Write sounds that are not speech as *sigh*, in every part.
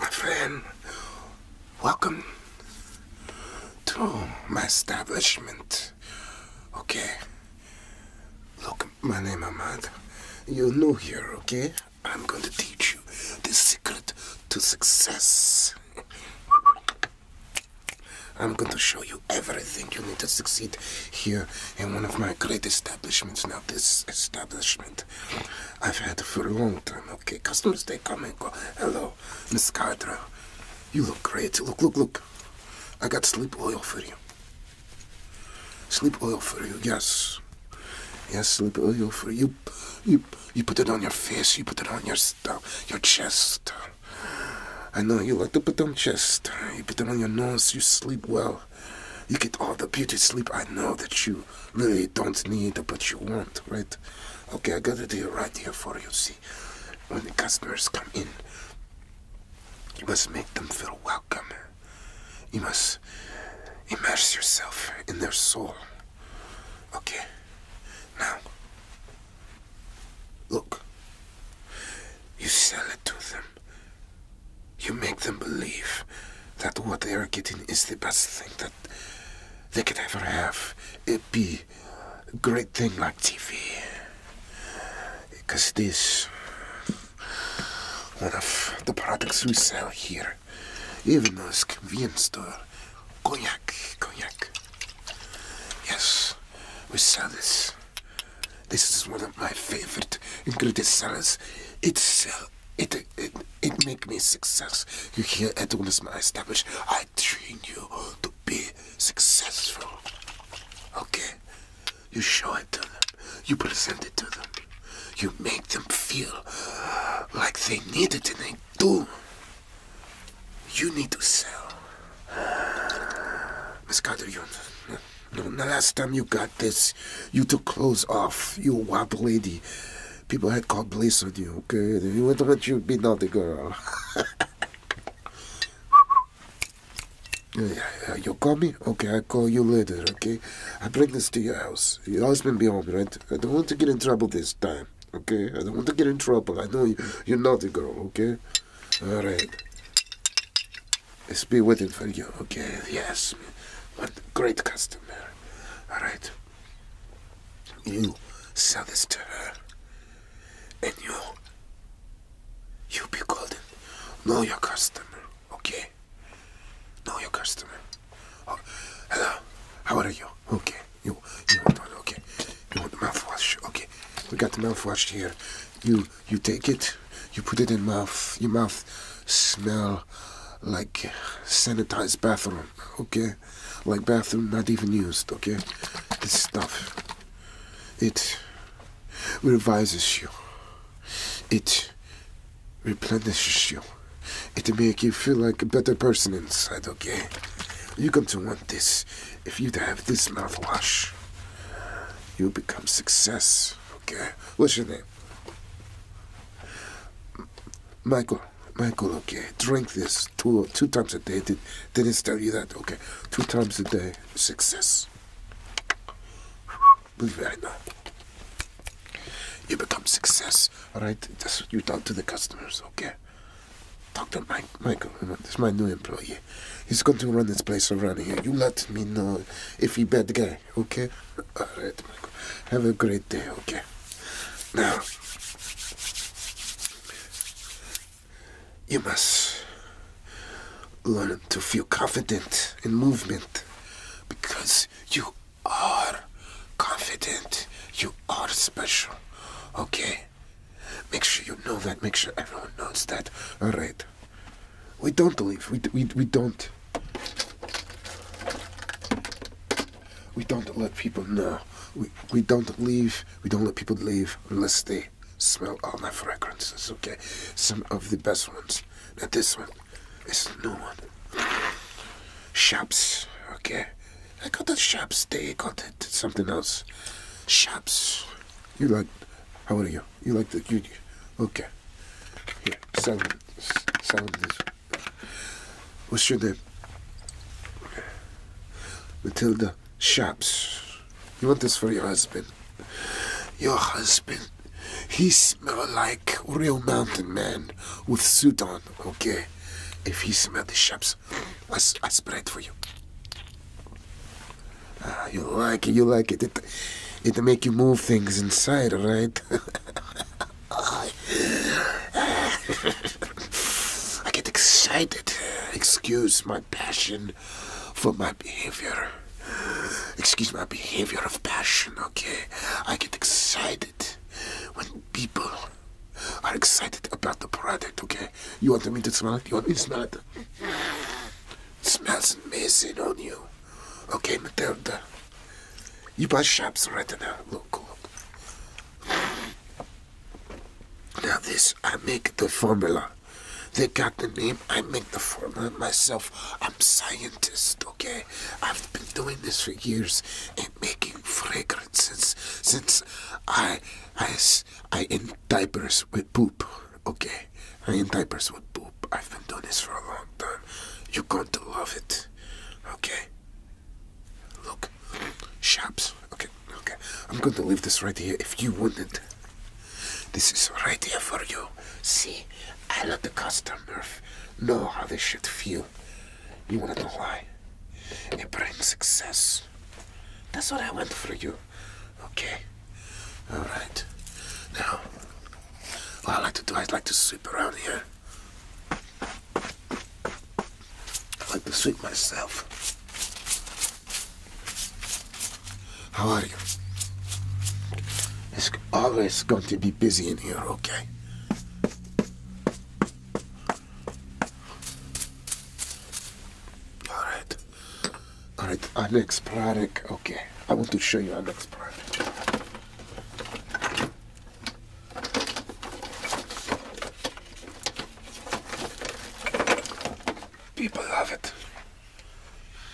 My friend, welcome to my establishment. Okay. Look, my name is Ahmad. You're new here, okay? I'm going to teach you the secret to success. I'm going to show you everything you need to succeed here in one of my great establishments. Now, this establishment I've had for a long time. Okay, customers they come and go. Hello, Miss Cardra. You look great. Look, look, look. I got sleep oil for you. Sleep oil for you, yes. Yes, sleep oil for you. You you put it on your face, you put it on your stuff, your chest. I know you like to put them chest. You put them on your nose, you sleep well. You get all the beauty sleep I know that you really don't need, but you want, right? Okay, I got a deal right here for you. See, when the customers come in, you must make them feel welcome. You must immerse yourself in their soul. Okay, now, look, you sell it to them you make them believe that what they are getting is the best thing that they could ever have. It be a great thing like TV. Because this, one of the products we sell here, even though convenience store, cognac, cognac. Yes, we sell this this is one of my favorite ingredient salads. It's uh, it, it it make me success. You hear at Unisma establish. I train you to be successful. Okay? You show it to them. You present it to them. You make them feel uh, like they need it and they do. You need to sell. Uh, Miss Carter, the last time you got this, you took clothes off. You wild lady. People had called police on you, okay? If you went to let you be naughty girl. *laughs* yeah, you call me? Okay, I call you later, okay? I bring this to your house. Your husband be home, right? I don't want to get in trouble this time, okay? I don't want to get in trouble. I know you, you're naughty girl, okay? Alright. Let's be waiting for you. Okay, yes. What great customer. All right. You sell this to her. And you, you be golden. Know your customer, okay? Know your customer. Oh, hello, how are you? Okay, you, you want okay. You want the mouthwash, okay. We got the mouthwash here. You you take it, you put it in mouth. Your mouth smell like sanitized bathroom, okay? Like bathroom not even used, okay? This stuff, it revises you. It replenishes you. It make you feel like a better person inside, okay? You come to want this. If you have this mouthwash, you'll become success. Okay. What's your name? Michael. Michael, okay, drink this two two times a day. Did did it tell you that? Okay, two times a day, success. Believe it or not, you become success. All right, that's what you talk to the customers. Okay, Dr. Mike, Michael, uh, this is my new employee. He's going to run this place around here. You let me know if he bad guy, okay? All right, Michael. Have a great day, okay? Now, you must learn to feel confident in movement because you are confident. You are special, okay? Make sure you know that. Make sure everyone knows that. All right. We don't leave. We, we, we don't. We don't let people know. We, we don't leave. We don't let people leave unless they smell all my fragrances, okay? Some of the best ones. Not this one is the new one. Shops, okay? I got the Shabs. They got it. something else. Shabs. You like? How are you? You like the you? Okay. Here, sell them. Sell them this. What's your name? Matilda Shabs. You want this for your husband? Your husband. He smell like real mountain man with suit on. Okay. If he smell the Shabs. I, spread for you. Ah, you like it, you like It, it make you move things inside, right? *laughs* I get excited. Excuse my passion for my behavior. Excuse my behavior of passion, okay? I get excited when people are excited about the product, okay? You want me to smell it? You want me to smell it? it smells amazing on you. Okay, Matilda. You buy shops right now. Look, look. Now this, I make the formula. They got the name, I make the formula myself. I'm scientist, okay? I've been doing this for years making fragrances since I, I, I in diapers with poop. Okay, I in diapers with poop. I've been doing this for a long time. You're going to love it. Okay. Look, shops. Okay, okay. I'm going to leave this right here. If you wouldn't, this is right here for you. See, I let the customer know how they should feel. You wanna know why? It brings success. That's what I want for you. Okay? Alright. Now, what I like to do, I would like to sweep around here. I like to sweep myself. How are you? It's always going to be busy in here, okay? All right. All right, Alex Pradek. Okay, I want to show you our next product. People love it.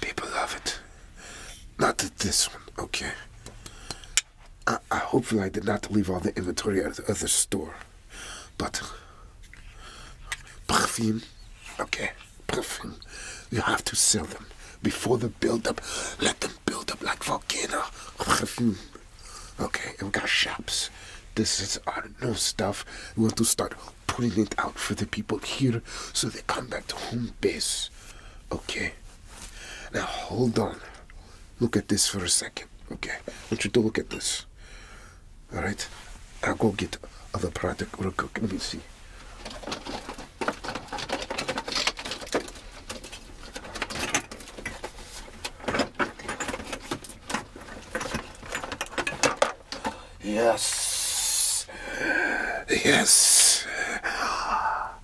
People love it. Not this one, okay? I, I hopefully I did not leave all the inventory at the store, but perfume, okay, perfume, you have to sell them before the build-up. Let them build up like volcano perfume. Okay, We've got shops. This is our new stuff. We want to start putting it out for the people here so they come back to home base. Okay. Now hold on. Look at this for a second. Okay. I want you to look at this. Alright? I'll go get other product real quick. Let me see. Yes. Yes. Yes.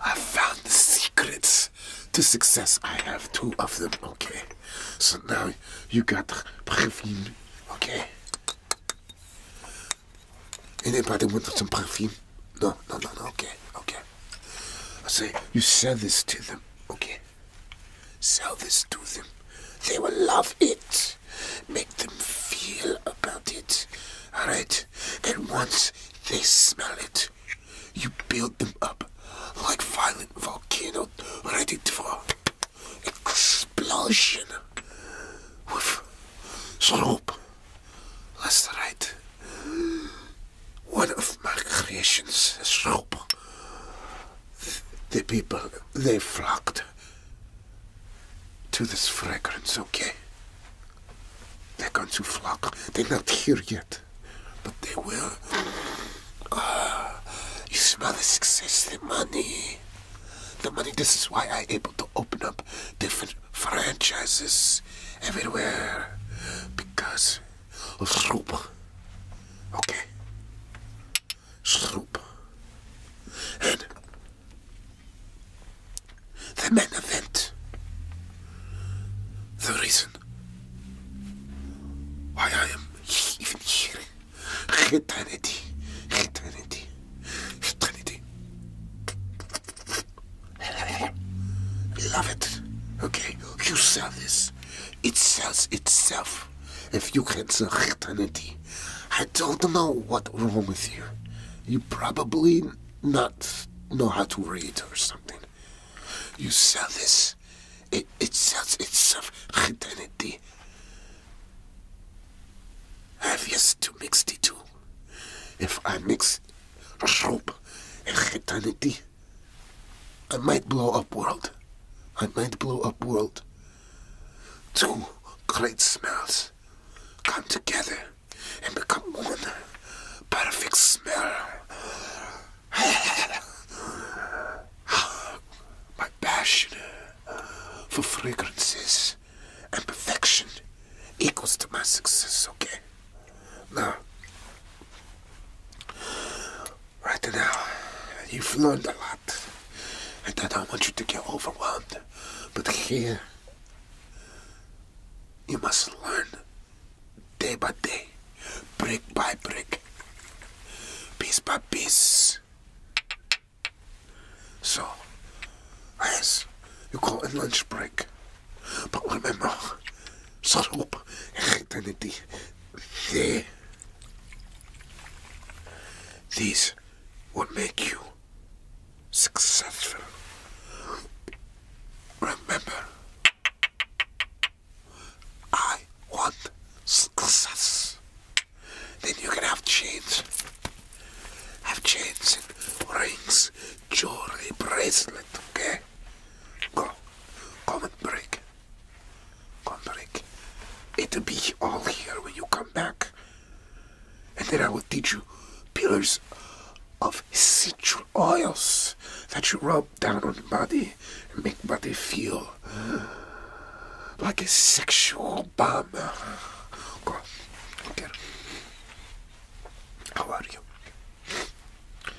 I found the secrets to success. I have two of them. Okay. So now you got perfume. Okay. and Anybody want some perfume? No, no, no, no. Okay, okay. I say you sell this to them. Okay. Sell this to them. They will love it. Make them feel about it. Alright? And once they smell it, you build them up like violent volcano ready for explosion with slope. That's right. One of my creations is The people, they flocked to, this fragrance, okay? They're going to flock. They're not here yet, but they will. Uh, you smell the success, the money. The money, this is why i able to open up different franchises everywhere. Because of Rupa. Okay sloop. And the main event, the reason why I am even here, eternity, eternity, eternity. Love it. Okay, you sell this. It sells itself. If you can sell eternity, I don't know what's wrong with you. You probably not know how to read or something. You sell this. It, sells itself identity. I've used to mix the two. If I mix rope and eternity, I might blow up world. I might blow up world. Two great smells come together and become one perfect smell. *laughs* My passion for fragrances and perfection equals to my success, okay? Now, Right now, you've learned a lot. And I don't want you to get overwhelmed. But here, you must learn day by day, brick by brick, piece by piece. So, yes, you call it lunch break. But remember, soap identity, they these will make you successful. Remember, I want success. Then you can have chains. Have chains and rings, jewelry, bracelet, okay? Go. Come and break. Gondoric. It'll be all here when you come back. And then I will teach you pillars of essential oils that you rub down on the body and make body feel like a sexual bomb. Go on. Okay. How are you?